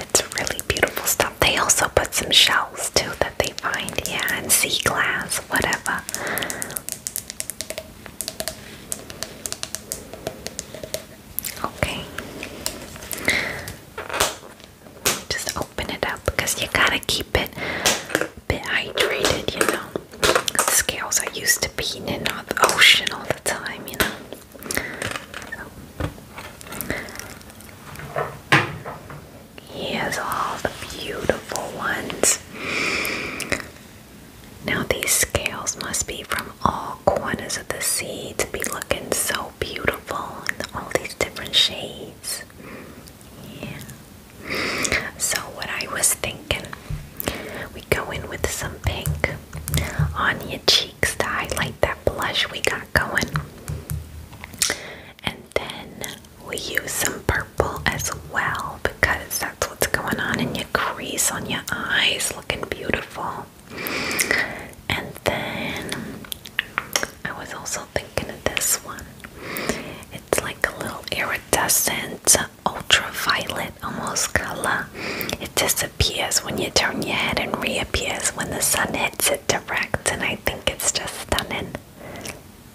it's really beautiful stuff. They also put some shells too that they find, yeah, and sea glass, whatever. Okay. Just open it up because you gotta keep it bit hydrated, you know. The scales are used to being in the ocean all the time, you know. Here's all the beautiful ones. Now these scales must be from all corners of the sea to be looking so beautiful in all these different shades. Yeah. So what I was thinking, we go in with some pink on your cheeks to highlight that blush we got going. And then we use some purple as well because that's what's going on in your crease on your eyes, looking beautiful. And then I was also thinking of this one. It's like a little iridescent, ultraviolet almost color. It disappears when you turn your head and reappears when the sun hits it direct, and I think it's just stunning.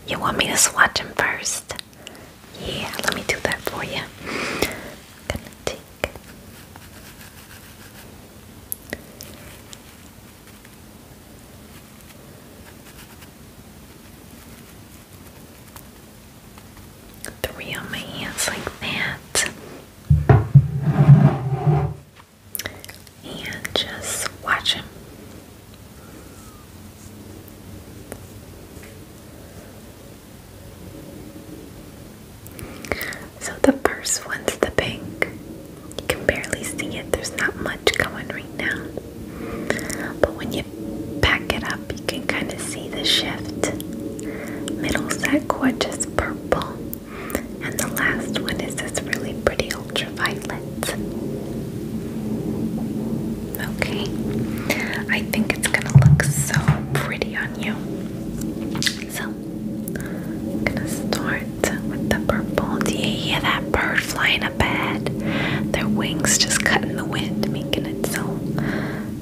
You want me to swatch them first? Yeah, let me do that for you. gonna take three on my hands like that. And just watch so the first one's the pink. You can barely see it, there's not much going right now. But when you pack it up, you can kind of see the shift. Middle that gorgeous purple, and the last one is this really pretty ultraviolet. Okay. I think it's gonna look so pretty on you. So, I'm gonna start with the purple. Do you hear that bird flying up ahead? Their wings just cutting the wind, making it so,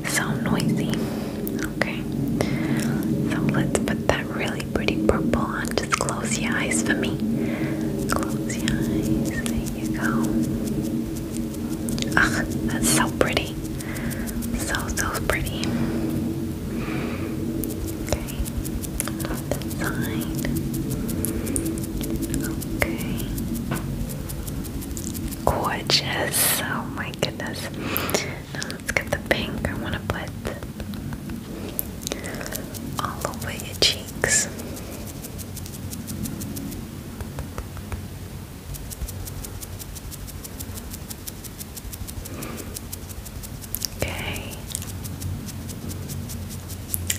so noisy. Okay. So let's put that really pretty purple on. Just close your eyes for me. Close your eyes. There you go. Ugh, that's so pretty. So, so pretty. Okay, on the Okay. Gorgeous. Oh my goodness. Now let's get the pink. I want to put all over your cheeks. Okay.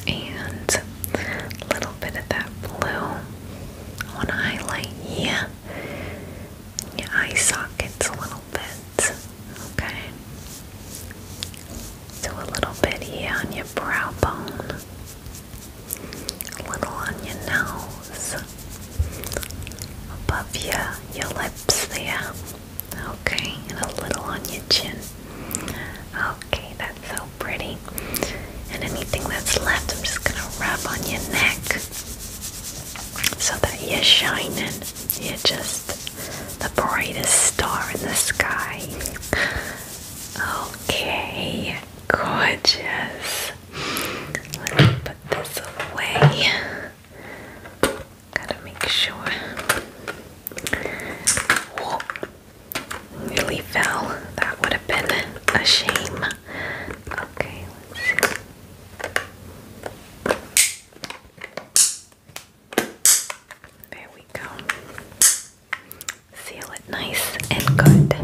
And a little bit of that blue. I want to highlight your eye sockets a little bit. Okay. Do a little bit here on your brow bone a little on your nose, above your, your lips there, okay, and a little on your chin. Okay, that's so pretty. And anything that's left, I'm just gonna rub on your neck so that you're shining. You're just the brightest star in the sky. Okay, gorgeous. Let me put this away. Gotta make sure. Whoa. fell. That would have been a shame. Okay, There we go. Seal it nice and good.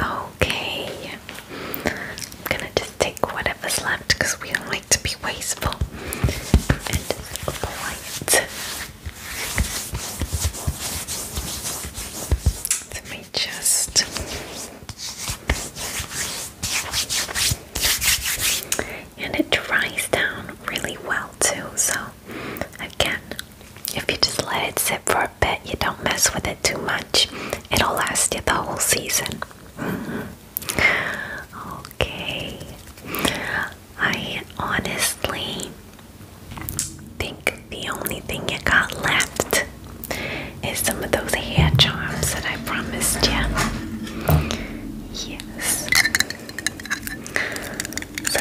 Okay. I'm gonna just take whatever's left because we don't like to be wasteful and polite. Let me just. And it dries down really well too, so Again, if you just let it sit for a bit, you don't mess with it too much, it'll last you the whole season. Okay, I honestly think the only thing you got left is some of those hair charms that I promised you. Yes. So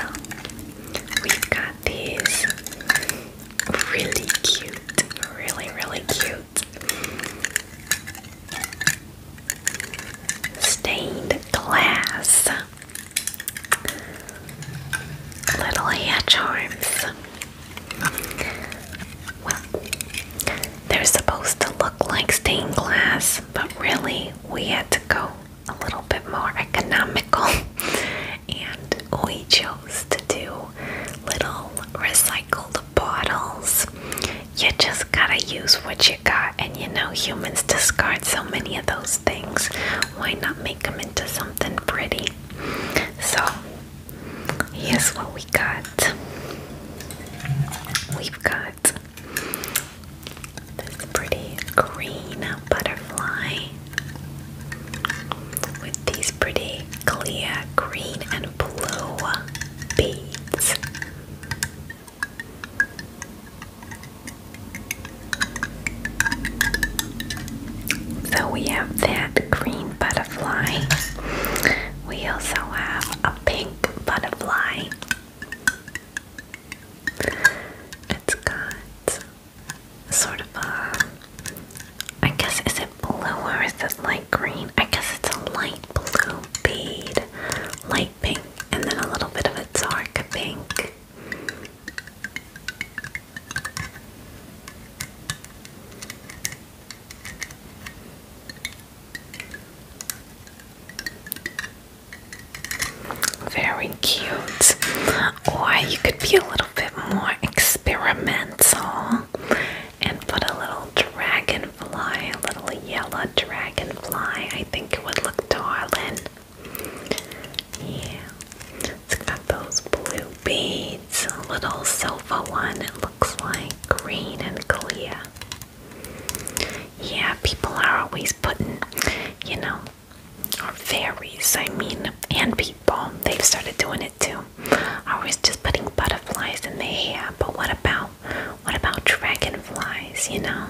we got these really cute, really, really cute stained glass little hair charms. they're supposed to look like stained glass, but really, we had to go a little bit more economical, and we chose to do little recycled bottles. You just gotta use what you got, and you know, humans discard so many of those things. Why not make them into something pretty? So, here's what we got. We've got this pretty green butterfly with these pretty clear green and blue beads. So we have that green butterfly. We also have a pink butterfly it's got sort of a. I guess, is it blue or is it light green? I guess it's a light blue bead, light pink, and then a little bit of a dark pink. Very cute. Or you could be a little bit more experimental and put a little dragonfly, a little yellow dragonfly. I think it would look darling. Yeah. It's got those blue beads, a little silver one, it looks like green and clear. Yeah, people are always putting, you know, or fairies, I mean, and people, they've started doing it too. I was just putting butterflies in the hair, but what about what about dragonflies, you know?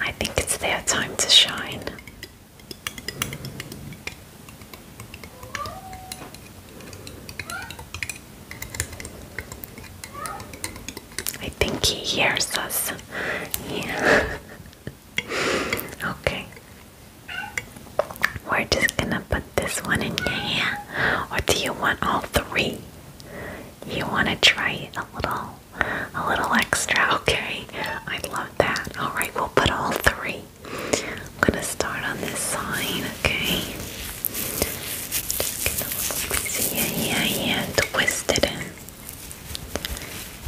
I think it's their time to shine. I think he hears us. Yeah okay. We're just gonna put this one in your hand. Or do you want all three? You wanna try a little a little extra, okay? I love that. Alright, we'll put all three. I'm gonna start on this side, okay? Just get a little piece of hair here twist it in.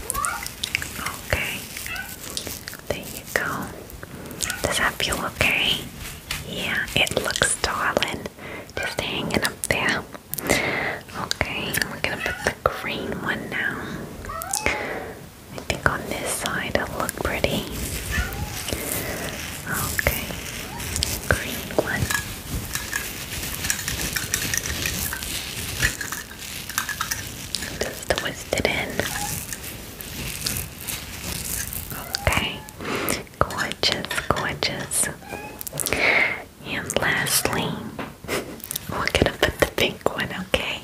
Okay, there you go. Does that feel okay? Yeah, it looks darling. Just hanging up there. Okay, we're gonna put the green one now. I think on this side it'll look pretty. Okay, green one. Just twist it in. Okay. Gorgeous, gorgeous. And lastly, we're gonna put the pink one, okay?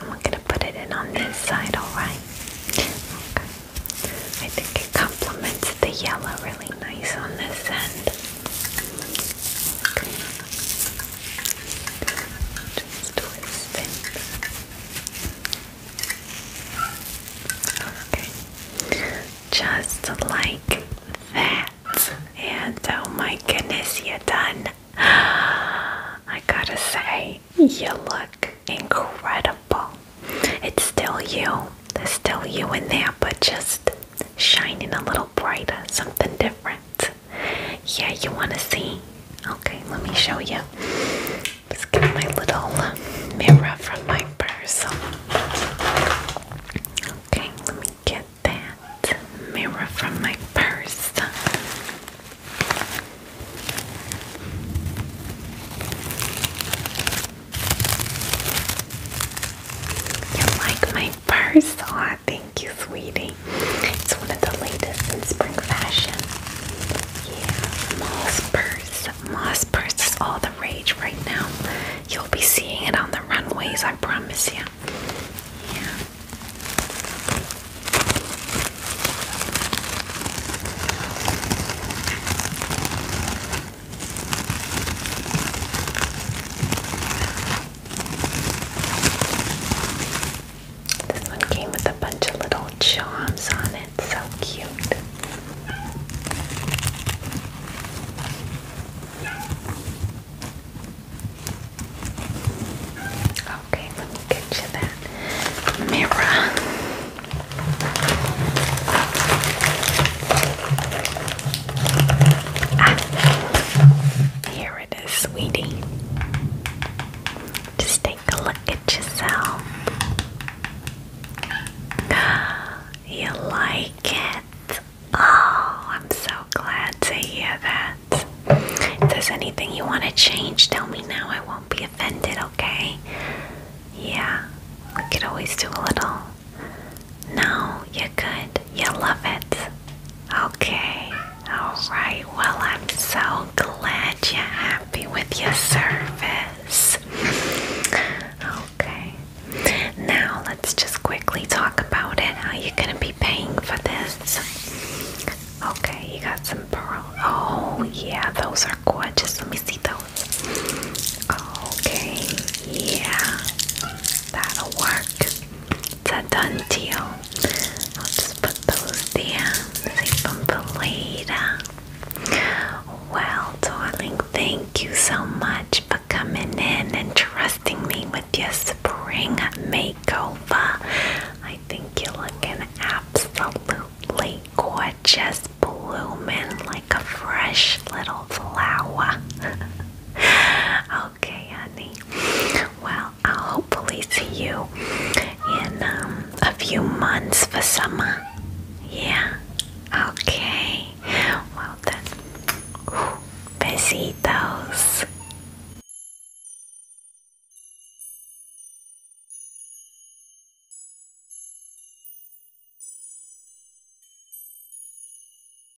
And we gonna put it in on this side, alright? Okay. I think it complements the yellow really nice on this end. Just like that. And oh my goodness, you're done. I gotta say, you look incredible. It's still you. There's still you in there, but just shining a little brighter, something different. Yeah, you want to see? Okay, let me show you. Let's get my little mirror from my purse. Okay, let me get that mirror from my purse. You like my first saw. Thank you, sweetie. It's one of the latest in spring fashion. Yeah, moss purse. Moss purse all the rage right now. You'll be seeing it on the runways, I promise you. Yeah. This one came with a bunch of little charms on it. So cute. Okay, let me get you that mirror. And ah, here it is, sweetie. Just take a look at yourself. You like it? Oh, I'm so glad to hear that. If there's anything you want to change, tell me now. I won't be offended, okay? Yeah, we can always do a little no, you're good. You love it. Okay. Alright. Well, I'm so glad you're happy with your service. Okay. Now, let's just quickly talk about it. How you going to be paying for this. Okay, you got some pearls. Oh, yeah, those are gorgeous. Let me see those. Okay, yeah, that'll work. It's a done deal. I'll just put those there. Save them for later. Well, darling, thank you so much for coming in and trusting me with your spring makeover. I think you're looking absolutely gorgeous, blooming like a fresh little flower. okay, honey. Well, I'll hopefully see you in um, a few months for summer. Yeah. Okay. Well then. Ooh, besitos.